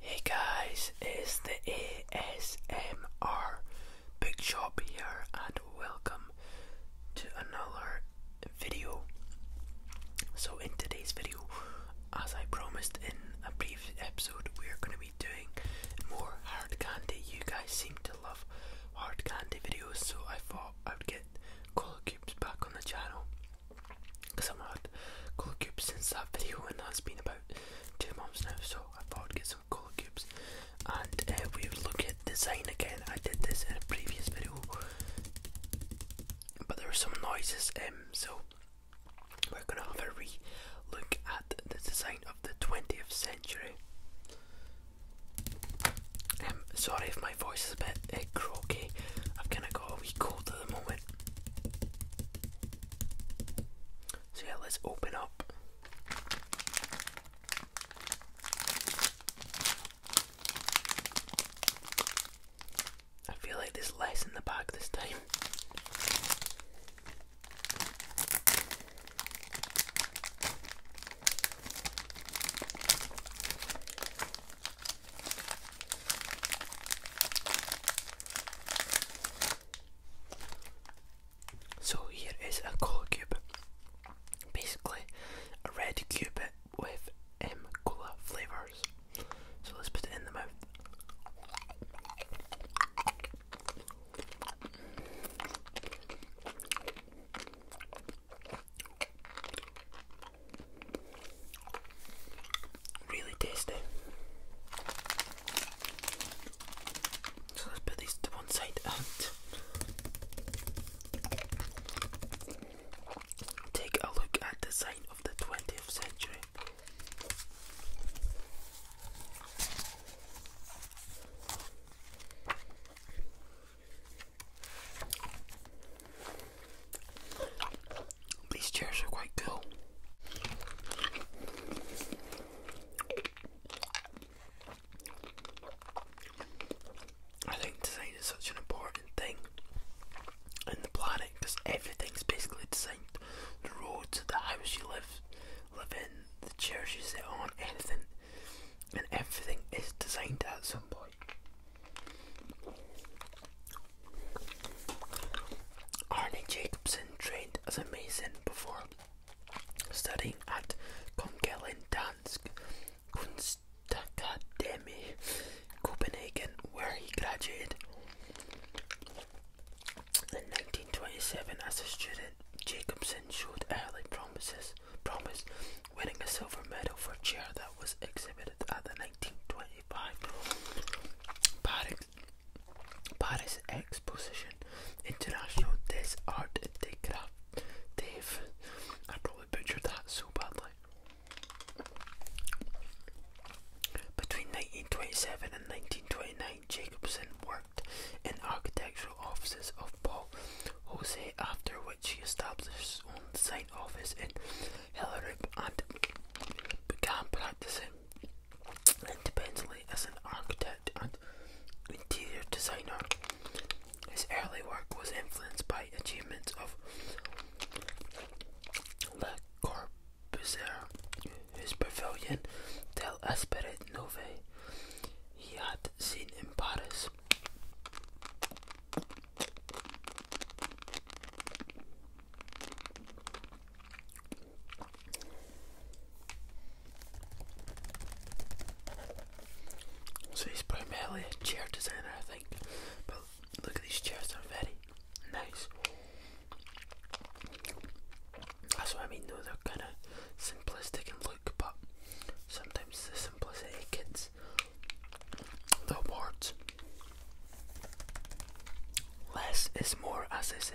Hey guys, it's the ASMR Big Shop here and welcome to another video. So in today's video, as I promised in a previous episode, we're going to be doing more hard candy. You guys seem to love hard candy videos so I thought I would get Call Cubes back on the channel because I've had cola cubes since that video, and that's been about two months now. So I thought I'd get some cola cubes, and uh, we would look at design again. I did this in a previous video, but there were some noises, um, so we're gonna have a re at the design of the 20th century. Um, sorry if my voice is a bit uh, croaky. I've kind of got a wee cold at the moment yeah, let's open up. I feel like there's less in the bag this time. So here is a cola cube, basically a red cube with um, cola flavours. So let's put it in the mouth. Really tasty. So let's put these to one side and take a look at the sign of the 20th century. These chairs are quite cool. I think design is such an important thing in the planet because everything's basically designed. The roads, the house you live live in, the chairs you sit on, anything and everything is designed at some point. Arne Jacobson trained as a mason before studying at Kongelen Dansk Kunstakademie, Copenhagen, where he graduated in 1927 as a student. Jacobson showed early promises, promise, winning a silver medal for chair that was exhibited at the 1920 Paris, Paris Exposition International Des Art Des Crafts. Dave, I probably butchered that so badly. Between 1927 and 1929, Jacobson worked in architectural offices of Paul Jose, after which he established his own design office in Hillary and began practicing independently as an architect and interior designer. His early work was influenced by achievements of Le Corbusier, whose pavilion Del Esprit Nouvelle he had seen in Paris. So he's primarily a chair designer, I think. But look at these chairs; they're very nice. That's what I mean, though. They're kind of simplistic in look, but sometimes the simplicity gets the awards. Less is more, as they say.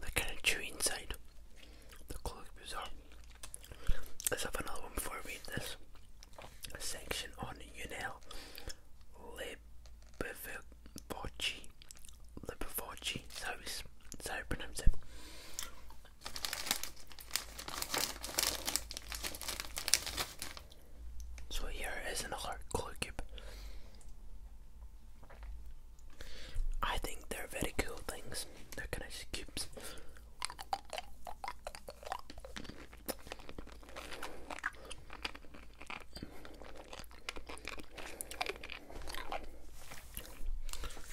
That kind of chewy inside. The clothes bizarre. Let's have another one before I this. A on Unel Forci, Lipoforci, so it's so pronounce it. So here is another color cube. I think they're very cool things. They're kind of cubes.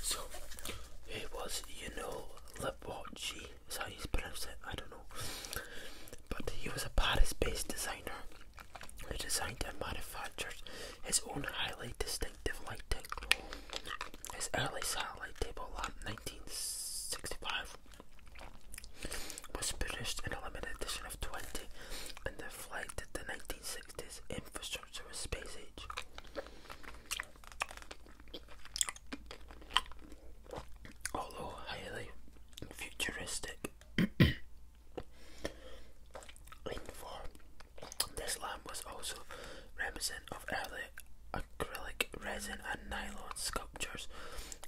So it was, you know, Libocci, is how you pronounce it, I don't know. But he was a Paris based designer who designed and manufactured his own highly distinctive lighting. His early satellite table lamp, 1965, was produced in a limited edition of 20 and reflected the 1960s infrastructure of space age. Although highly futuristic in this lamp was also reminiscent of early acrylic resin and nylon sculptures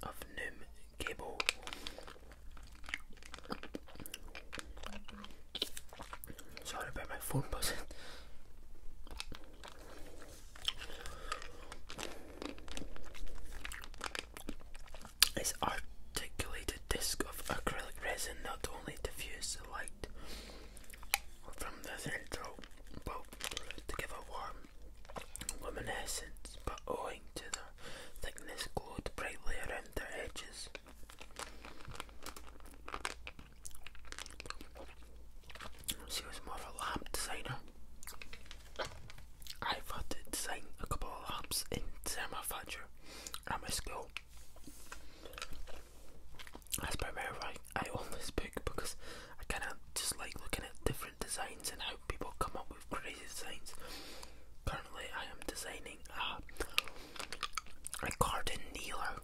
of New. Gable. Sorry about my phone buzzing. This articulated disc of acrylic resin not only diffuses the light from the central bulb to give a warm luminescence, but owing to their thickness glowed brightly around their edges. She was more of a lamp designer. I've had to design a couple of lamps in thermofacture at my school. That's primarily why I own this book because I kind of just like looking at different designs and how people come up with crazy designs. Currently, I am designing a garden kneeler,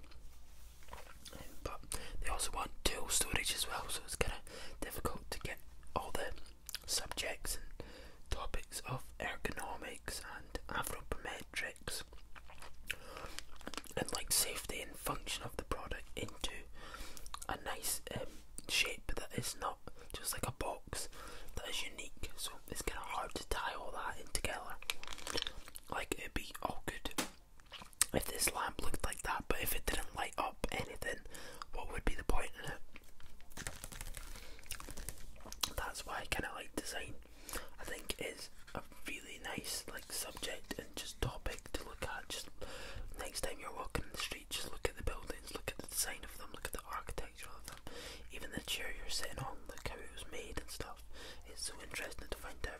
but they also want tool storage as well, so it's kind of difficult to get all the subjects and topics of ergonomics and anthropometrics and like safety and function of the product into a nice um, shape that is not just like a box that is unique, so it's kind of hard to tie all that in together. Like it'd be all good if this lamp looked like that, but if it didn't light up anything, what would be the point in it? That's why I kind of like design. I think it's a really nice like subject and just topic to look at. Just next time you're walking the street just look at the buildings, look at the design of them, look at the architecture of them, even the chair you're sitting on, look how it was made and stuff. It's so interesting to find out.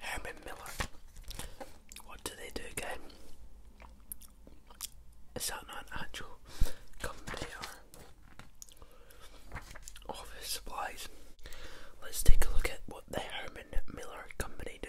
Herman Miller. What do they do again? Is that not an actual company or office supplies? Let's take a look at what the Herman Miller company do.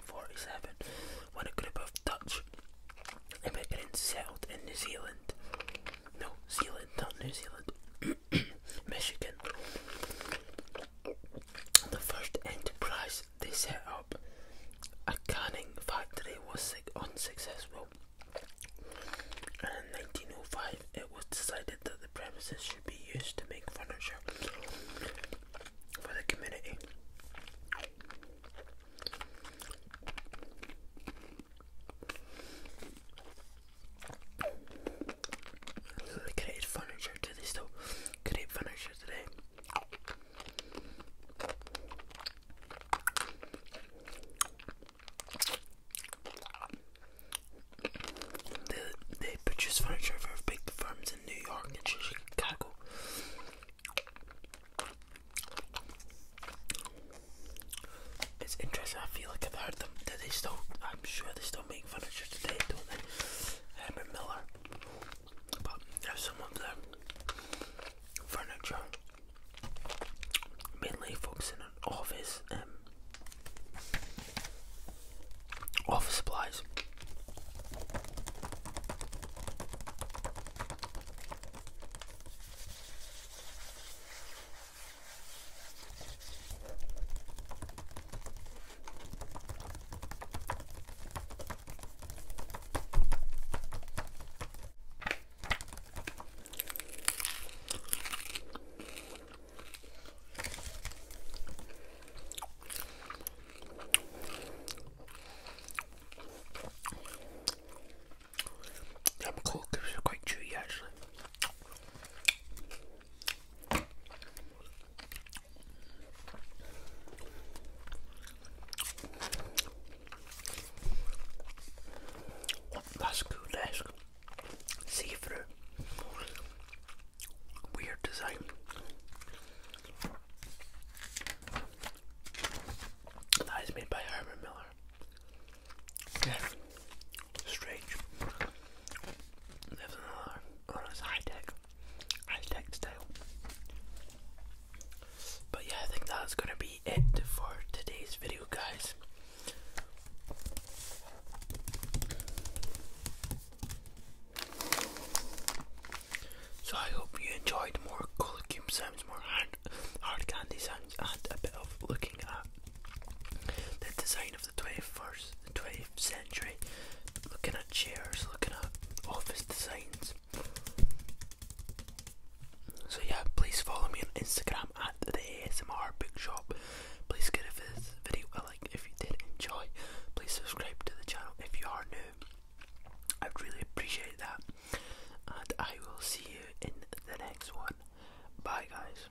1947 when a group of Dutch immigrants settled in New Zealand. No, Zealand, not New Zealand. Michigan. The first enterprise they set up, a canning factory, was unsuccessful. And in 1905, it was decided that the premises should be used to make furniture for the community. furniture today, still create furniture today. They, they furniture for big firms in New York and Chicago. It's interesting. I feel like I've heard them. Do they still? I'm sure they still make furniture today, don't they? Herbert Miller. But there's some of their furniture, mainly focusing on office um, office supplies. Some cold crisps are quite chewy actually. That's good, that's see through weird design. That is made by Herman Miller. Yeah, strange. another, high tech, high tech style. But yeah, I think that's gonna be it for today's video, guys. So I hope you enjoyed more colour cube sounds, more hard, candy sounds, and a bit of looking at the design of the 21st, the century, looking at chairs, looking at office designs. So yeah, please follow me on Instagram at the ASMR Bookshop. Please give this video a if you did enjoy, please subscribe to the channel if you are new. I'd really appreciate that. And I will see you in the next one. Bye, guys.